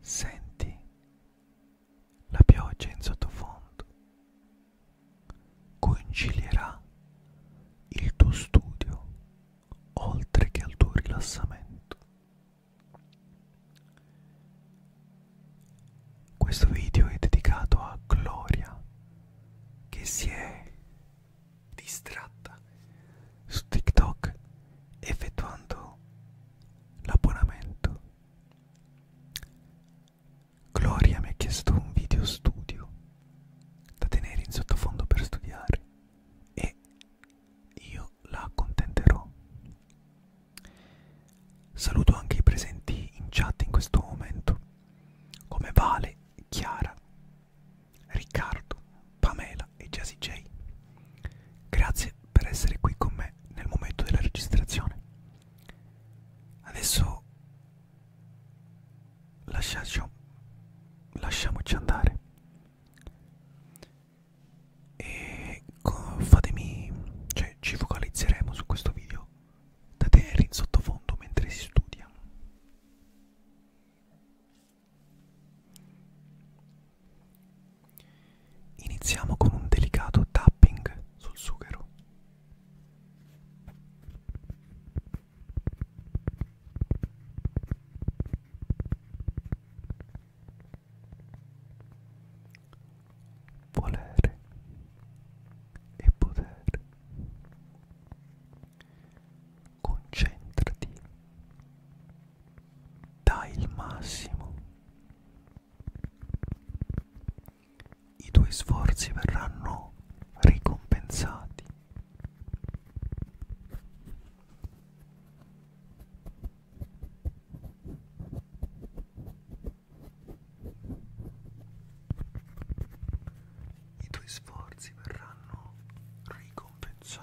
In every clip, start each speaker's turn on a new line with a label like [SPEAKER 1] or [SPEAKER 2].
[SPEAKER 1] Senti la pioggia in sottofondo. Concilierà il tuo studio oltre che al tuo rilassamento. Questo video è dedicato a Gloria che si è distratta su TikTok effettuando l'abbonamento. Gloria mi ha chiesto un video studio da tenere in sottofondo per studiare e io la accontenterò. Saluto anche i presenti in chat in questo momento, come Vale, Chiara, Riccardo, Pamela. Michaela e Jesse J. Grazie per essere qui con me nel momento della registrazione. Adesso lasciacio, lasciamoci andare e fatemi, cioè ci focalizzeremo su questo video da tenere in sottofondo mentre si studia. Iniziamo con un delicato tapping sul sughero. Volere e potere. Concentrati dai il massimo. I tuoi sforzi verranno ricompensati. I tuoi sforzi verranno ricompensati compensati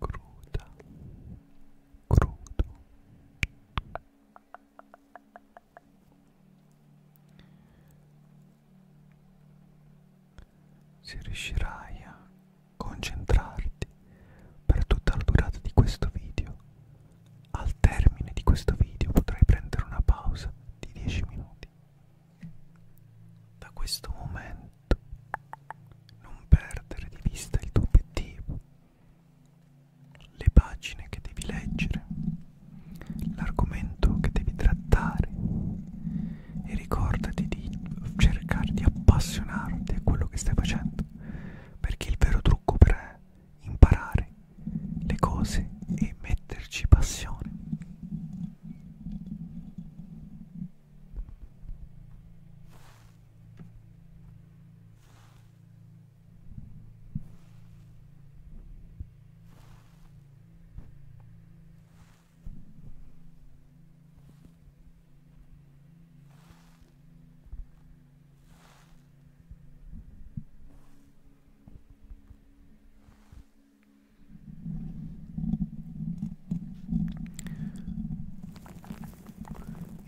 [SPEAKER 1] Cruda, crudo, se riuscirai a concentrarti per tutta la durata di questo video. Al termine di questo video potrai prendere una pausa di 10 minuti. Da questo momento non perdere di vista il tuo obiettivo, le pagine che devi leggere, l'argomento che devi trattare, e ricordati di cercare di appassionarti a quello che stai facendo perché il vero trucco per imparare le cose è metterci passione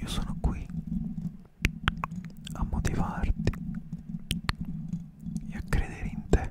[SPEAKER 1] io sono qui a motivarti e a credere in te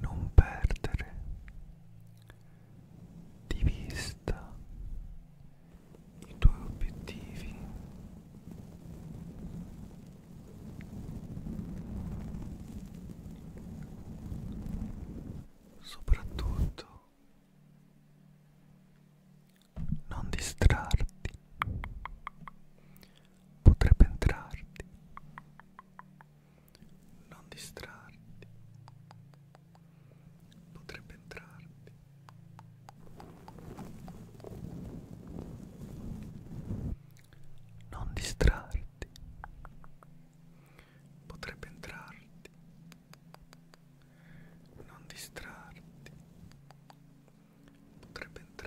[SPEAKER 1] Non perdere di vista i tuoi obiettivi. Soprattutto non distrarti potrebbe entrarti non distrarti potrebbe entrarti non distrarti potrebbe entrarti, non distrarti, potrebbe entrarti.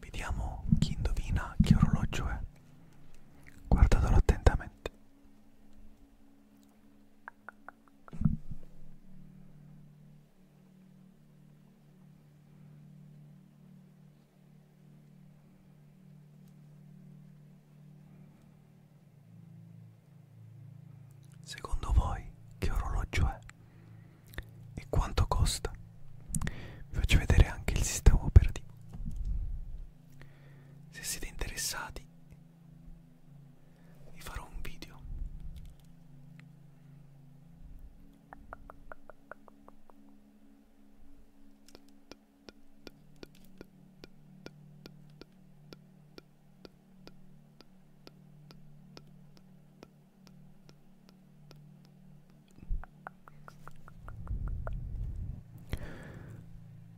[SPEAKER 1] Vediamo chi indovina che orologio è. Guardatelo attentamente. Secondo voi che orologio è? E quanto costa? Vi faccio vedere anche il sistema operativo se siete interessati vi farò un video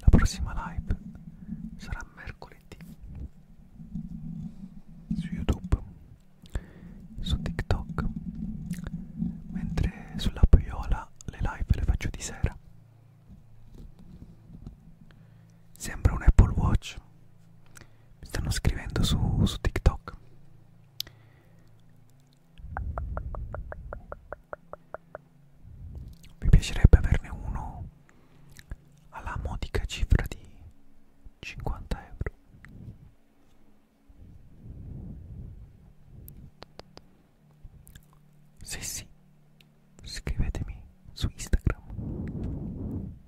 [SPEAKER 1] La prossima live sarà mercoledì su YouTube, su TikTok, mentre sulla Piola le live le faccio di sera. Sembra un Apple Watch. Mi stanno scrivendo su, su TikTok. Mi piacerebbe averne uno alla modica cifra di 50 euro. Sì, sì, scrivetemi su Instagram.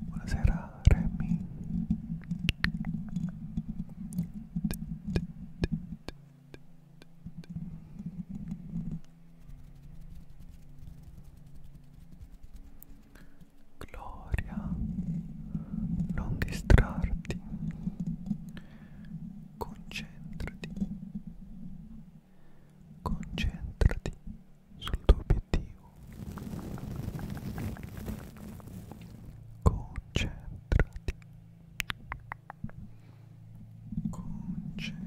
[SPEAKER 1] Buonasera Remy. Gloria, non distrarti. Concentrati. Concentrati sul tuo obiettivo. Concentrati. Concentrati.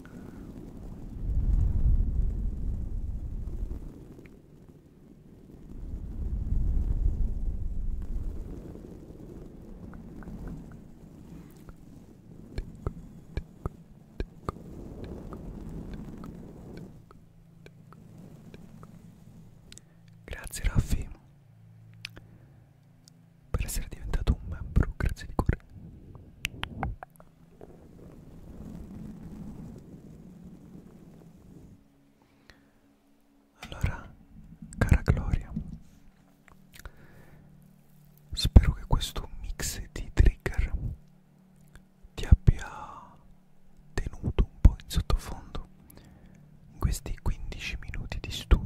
[SPEAKER 1] Grazie Raffi per essere diventato un membro, grazie di cuore. Allora, cara Gloria, spero che questo mix di trigger ti abbia tenuto un po' in sottofondo in questi 15 minuti di studio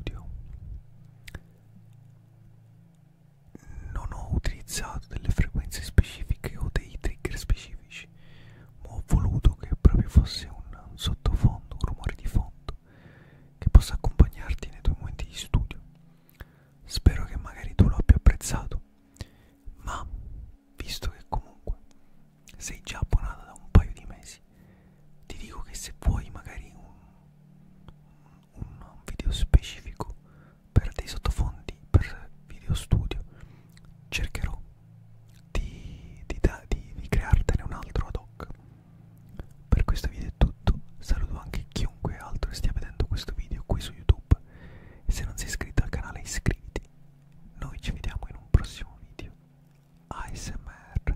[SPEAKER 1] non ho utilizzato delle frequenze specifiche o dei trigger specifici ma ho voluto che proprio fosse un sottofondo un rumore di fondo che possa accompagnarti nei tuoi momenti di studio spero che magari tu lo abbia apprezzato ma visto che comunque sei già abbonata da un paio di mesi ti dico che se vuoi magari un un video specifico per dei sottofondi, per video studio, cercherò di, di, da, di, di creartene un altro ad hoc. Per questo video è tutto, saluto anche chiunque altro stia vedendo questo video qui su YouTube e se non sei iscritto al canale iscriviti. Noi ci vediamo in un prossimo video. ASMR